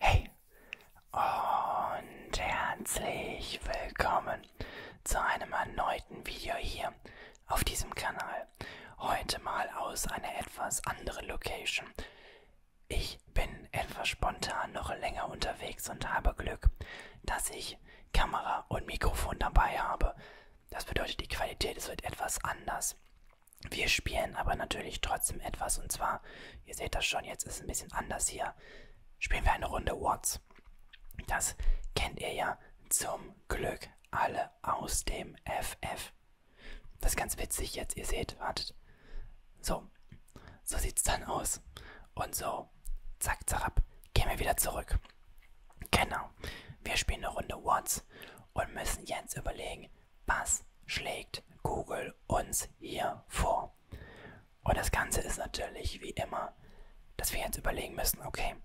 Hey und herzlich willkommen zu einem erneuten Video hier auf diesem Kanal. Heute mal aus einer etwas anderen Location. Ich bin etwas spontan noch länger unterwegs und habe Glück, dass ich Kamera und Mikrofon dabei habe. Das bedeutet, die Qualität ist heute etwas anders. Wir spielen aber natürlich trotzdem etwas und zwar, ihr seht das schon, jetzt ist es ein bisschen anders hier, spielen wir eine Runde Words. Das kennt ihr ja zum Glück alle aus dem FF. Das ist ganz witzig jetzt, ihr seht, wartet. So, so sieht's dann aus. Und so, zack, zarab, gehen wir wieder zurück. Genau, wir spielen eine Runde Words und müssen jetzt überlegen, was schlägt Google uns hier vor? Und das Ganze ist natürlich wie immer, dass wir jetzt überlegen müssen, okay,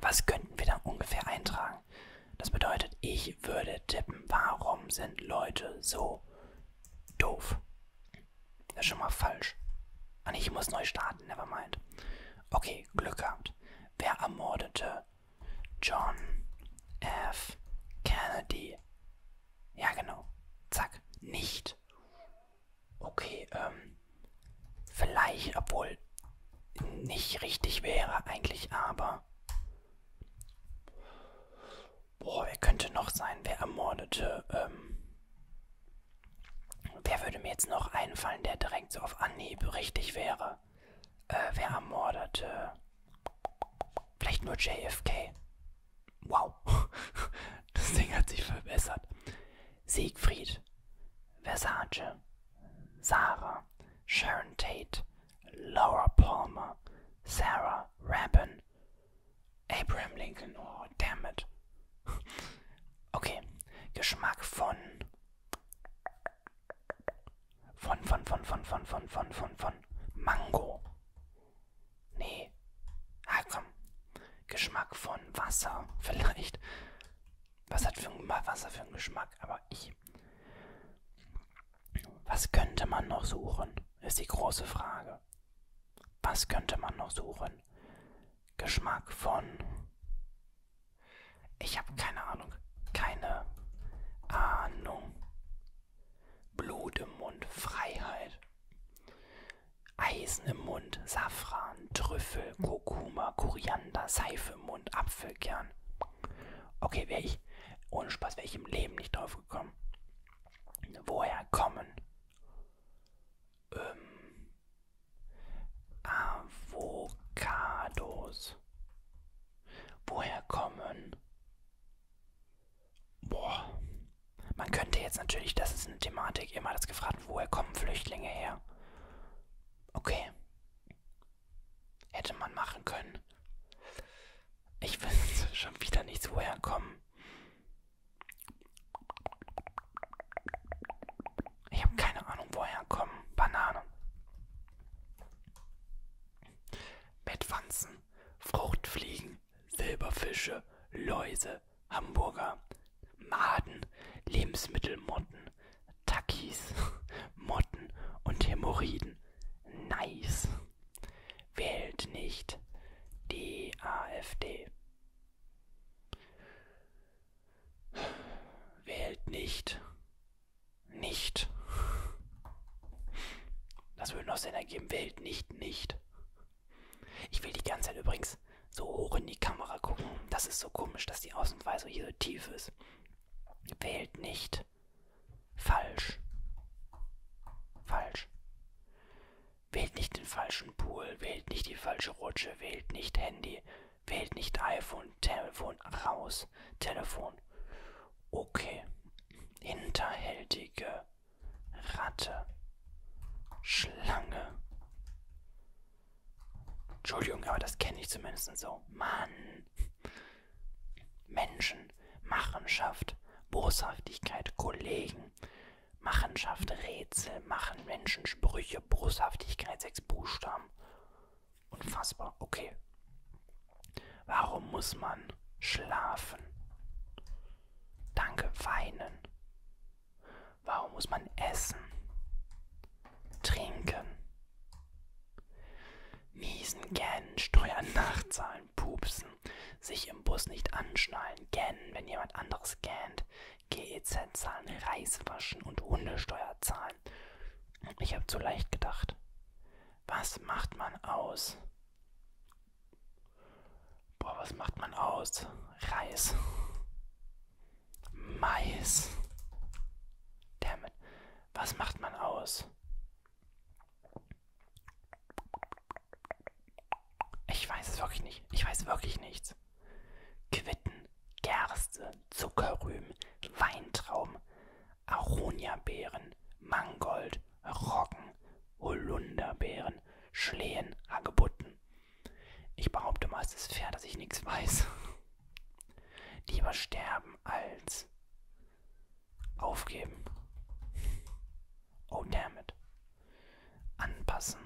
was könnten wir da ungefähr eintragen? Das bedeutet, ich würde tippen, warum sind Leute so doof? Das ist schon mal falsch. Ah, ich muss neu starten, nevermind. Okay, Glück gehabt. Wer ermordete John F. Kennedy. Ja, genau. Zack. Nicht. Okay, ähm. Vielleicht, obwohl nicht richtig wäre eigentlich, aber. Boah, wer könnte noch sein? Wer ermordete? Ähm, wer würde mir jetzt noch einfallen, der direkt so auf Anhieb richtig wäre? Äh, wer ermordete? Vielleicht nur JFK. Wow. Das Ding hat sich verbessert. Siegfried, Versace, Sarah, Sharon Tate, Laura Palmer, Sarah Rabin, Abraham Lincoln. Oh, damn it. Okay. Geschmack von von, von, von, von, von, von, von, von, von. Mango. Nee. Ah, komm. Geschmack von Wasser, vielleicht. Was hat für ein, Wasser für einen Geschmack? Aber ich. Was könnte man noch suchen? Ist die große Frage. Was könnte man noch suchen? Geschmack von ich habe keine Ahnung. Keine Ahnung. Blut im Mund, Freiheit. Eisen im Mund, Safran, Trüffel, Kurkuma, Koriander, Seife im Mund, Apfelkern. Okay, wäre ich, ohne Spaß, wäre ich im Leben nicht drauf gekommen. Woher kommen? Ähm, Avocados. Woher kommen? Boah. Man könnte jetzt natürlich, das ist eine Thematik, immer das gefragt, woher kommen Flüchtlinge her? Okay. Hätte man machen können. Ich wüsste schon wieder nichts, woher kommen. Ich habe keine Ahnung, woher kommen. Banane. Bettwanzen, Fruchtfliegen, Silberfische, Läuse, Hamburger, Maden, Lebensmittelmotten, Takis, Motten und Hämorrhoiden. Nice. Wählt nicht die AfD. Wählt nicht. Nicht. Das würde noch Sinn ergeben. Wählt nicht, nicht. Ich will die ganze Zeit übrigens so hoch in die Kamera gucken. Das ist so komisch, dass die Außenweise hier so tief ist. Wählt nicht. Falsch. Falsch. Wählt nicht den falschen Pool, wählt nicht die falsche Rutsche, wählt nicht Handy, Wählt nicht iPhone, Telefon raus, Telefon. Okay. Hinterhältige Ratte. Schlange. Entschuldigung, aber das kenne ich zumindest so. Mann. Menschen, Machenschaft, Boshaftigkeit, Kollegen, Machenschaft, Rätsel, Machen, Menschen, Sprüche, Boshaftigkeit, sechs Buchstaben, Unfassbar, okay. Warum muss man schlafen? Danke, weinen. Warum muss man essen? Trinken. Niesen, gähnen, steuern, nachzahlen, pupsen, sich im Bus nicht anschnallen, gähnen, wenn jemand anderes gähnt, GEZ zahlen, Reis waschen und Hundesteuer zahlen. Ich habe zu leicht gedacht. Was macht man aus? Boah, was macht man aus? Reis. Mais. Damit. Was macht man aus? Ich weiß es wirklich nicht. Ich weiß wirklich nichts. Quitten, Gerste, Zuckerrüben, Weintrauben, Aroniabeeren, Mangold, Roggen, Holunderbeeren, Schlehen, Hagebutten. Ich behaupte mal, es ist fair, dass ich nichts weiß. Lieber sterben als aufgeben. Oh damn it. Anpassen.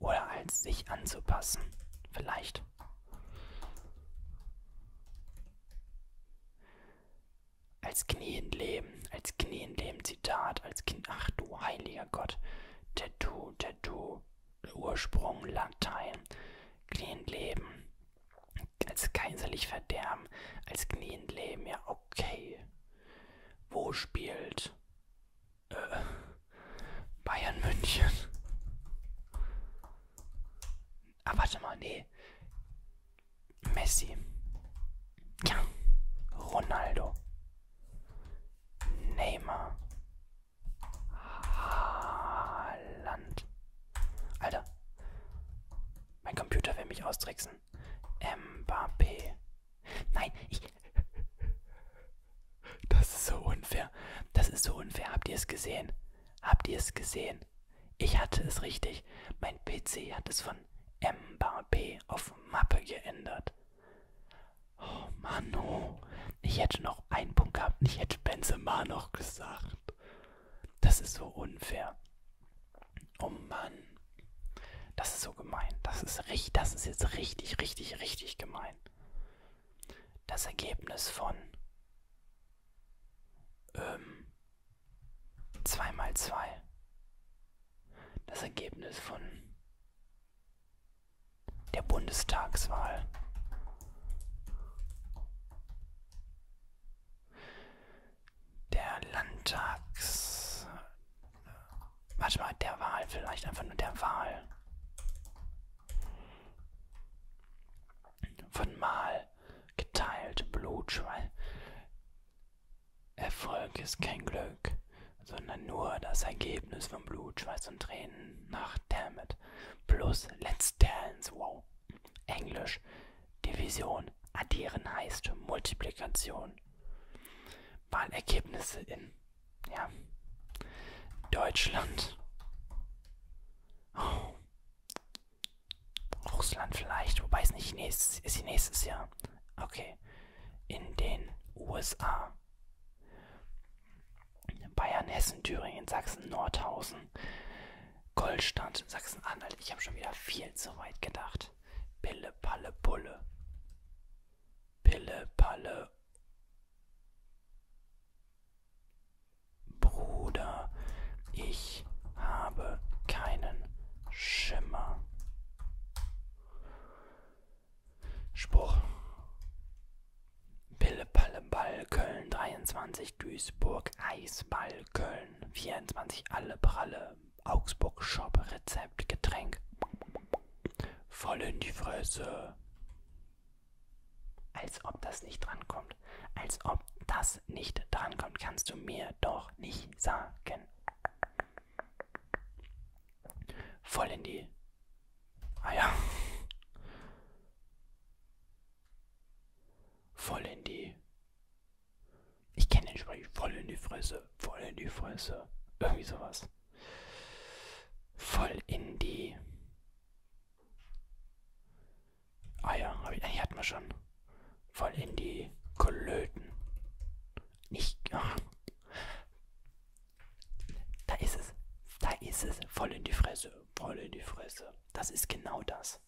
Oder als sich anzupassen. Vielleicht. Als kniend leben, als kniend leben, Zitat, als Kind, ach du heiliger Gott, Tattoo, Tattoo, Ursprung, Latein, kniend leben, als kaiserlich verderben, als kniend leben, ja okay. Wo spielt äh, Bayern München. Ah, warte mal, nee. Messi. Ja. Ronaldo. Neymar. Haaland. Alter. Mein Computer will mich austricksen. Mbappé. Nein, ich. Das ist so unfair. Das ist so unfair. Habt ihr es gesehen? Habt ihr es gesehen? Ich hatte es richtig. Mein PC hat es von Mbappé auf Mappe geändert. Oh Mann, oh. ich hätte noch einen Punkt gehabt und ich hätte Benzema noch gesagt. Das ist so unfair. Oh Mann. Das ist so gemein. Das ist, richtig, das ist jetzt richtig, richtig, richtig gemein. Das Ergebnis von ähm, 2 mal 2. Das Ergebnis von der Bundestagswahl. Der Landtags... Warte mal, der Wahl, vielleicht einfach nur der Wahl. Von Mal geteilt, Blutschwein. Erfolg ist kein Glück, sondern nur das Ergebnis von Blut, Schweiß und Tränen. Nach Dammit. Plus Let's Dance. Wow. Englisch. Division. Addieren heißt Multiplikation. Wahlergebnisse in ja, Deutschland. Oh. Russland vielleicht, wobei es nicht nächstes, ist nächstes Jahr. Okay. In den USA. Bayern, Hessen, Thüringen, Sachsen, Nordhausen, Goldstadt, Sachsen-Anhalt. Ich habe schon wieder viel zu weit gedacht. Pille, Palle, Pulle. Pille, Palle, Bruder, ich habe keinen Schimmer. Spruch. Pille, Palle, Ball, Köln, 23, Duisburg, Eisball, Köln, 24, alle Pralle, Augsburg Shop Rezept Getränk. Voll in die Fresse. Als ob das nicht drankommt. Als ob das nicht drankommt, kannst du mir doch nicht sagen. Voll in die. Ah ja. Voll in die. Ich kenne den Sprech. Voll in die Fresse. Voll in die Fresse. Irgendwie sowas. Voll in die. Ah ja, hab ich, ich hatten wir schon. Voll in die Klöten. Nicht. Ach. Da ist es. Da ist es. Voll in die Fresse. Voll in die Fresse. Das ist genau das.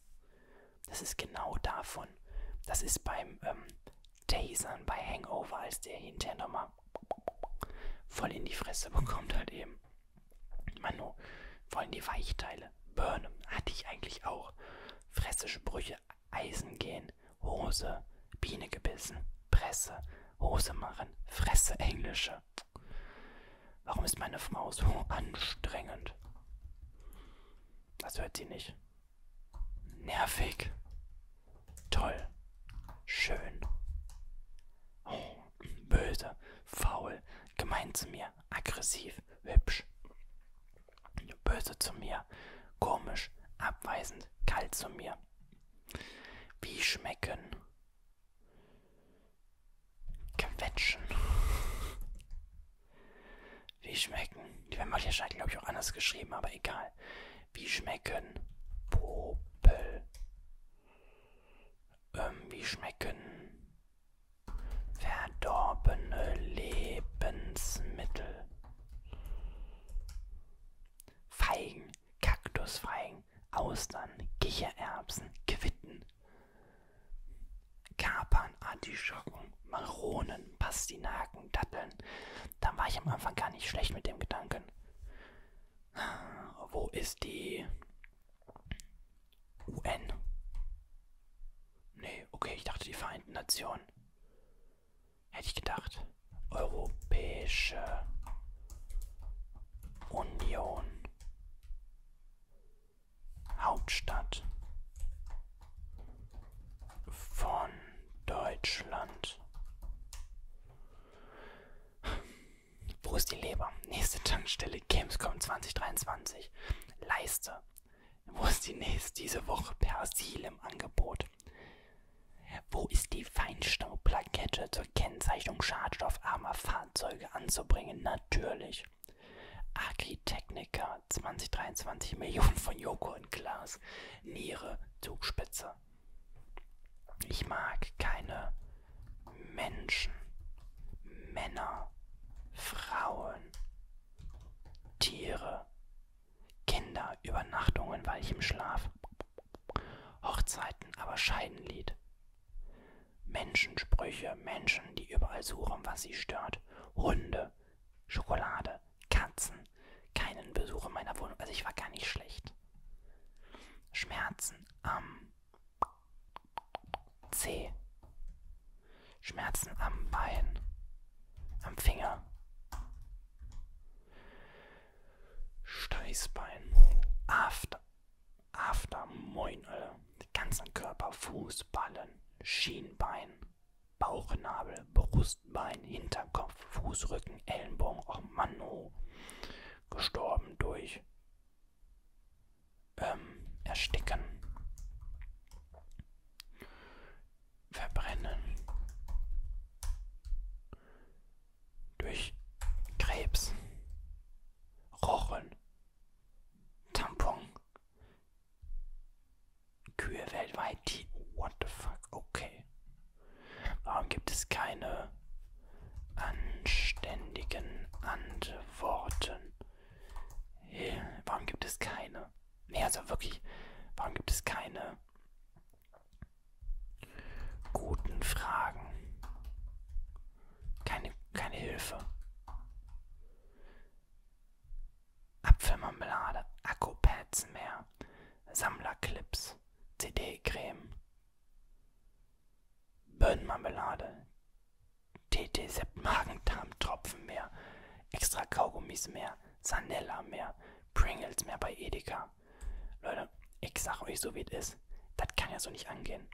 Das ist genau davon. Das ist beim ähm, tasern bei Hangover, als der hinterher nochmal voll in die Fresse bekommt halt eben. Mano, vor allem die Weichteile. Burnham hatte ich eigentlich auch. Fressesprüche, Eisen gehen, Hose, Biene gebissen, Presse, Hose machen, Fresse, Englische. Warum ist meine Frau so anstrengend? Das hört sie nicht. Nervig. Toll. Schön. Oh, böse. Faul. Gemein zu mir. Aggressiv. Hübsch. Böse zu mir. Komisch. Abweisend. Kalt zu mir. Wie schmecken. Quetschen. Wie schmecken? Die Wehrmacht erscheint, glaube ich, auch anders geschrieben, aber egal. Wie schmecken? Popel. Ähm, wie schmecken? Verdorbene Lebensmittel. Feigen, Kaktusfeigen, Austern, Kichererbsen, Quitten, Kapern, Artischocken, Maronen, Pastinaken, Datteln. Da war ich am Anfang gar nicht schlecht mit dem Gedanken. Wo ist die UN? Nee, okay, ich dachte die Vereinten Nationen. Hätte ich gedacht. Europäische Union. Hauptstadt von Deutschland. Wo ist die Leber? Nächste Tankstelle Gamescom 2023. Leiste. Wo ist die nächste? Diese Woche Persil im Angebot. Wo ist die Feinstaubplakette zur Kennzeichnung schadstoffarmer Fahrzeuge anzubringen? Natürlich. Agritechnica 2023 Millionen von Joko und Glas. Niere, Zugspitze. Ich mag keine Menschen, Männer, Frauen, Tiere, Kinder, Übernachtungen, weil ich im Schlaf, Hochzeiten, aber Scheidenlied. Menschensprüche, Menschen, die überall suchen, was sie stört, Hunde, Schokolade, Katzen, keinen Besuch in meiner Wohnung. Also ich war gar nicht schlecht. Schmerzen am C. Schmerzen am Bein, am Finger. Steißbein. After. After. Moin, Alter. Den ganzen Körper. Fuß, Ballen, Schienbein. Bauchnabel, Brustbein, Hinterkopf, Fußrücken, Ellenbogen, oh Mann, oh. Gestorben durch ähm, Ersticken. Verbrennen. Durch Krebs. Rochen. Tampon. Kühe weltweit, die. What the fuck? Okay. Warum gibt es keine anständigen Antworten? Warum gibt es keine? Nee, also wirklich, warum gibt es keine guten Fragen? Keine, keine Hilfe. Apfelmarmelade, Akkupads mehr, Sammlerclips, CD-Creme, Birnenmarmelade, TT-Sept Magen-Darm-Tropfen mehr, extra Kaugummis mehr, Sanella mehr, Pringles mehr bei Edeka. Leute, ich sag euch so wie es ist, das kann ja so nicht angehen.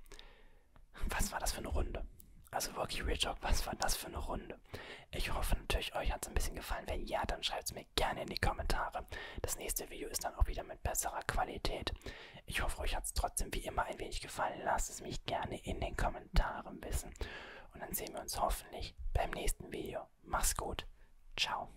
Was war das für eine Runde? Also wirklich Real Talk, was war das für eine Runde? Schule. Ich hoffe natürlich, euch hat es ein bisschen gefallen. Wenn ja, dann schreibt es mir gerne in die Kommentare. Das nächste Video ist dann auch wieder mit besserer Qualität. Ich hoffe, euch hat es trotzdem wie immer ein wenig gefallen. Lasst es mich gerne in den Kommentaren wissen. Und dann sehen wir uns hoffentlich beim nächsten Video. Mach's gut. Ciao.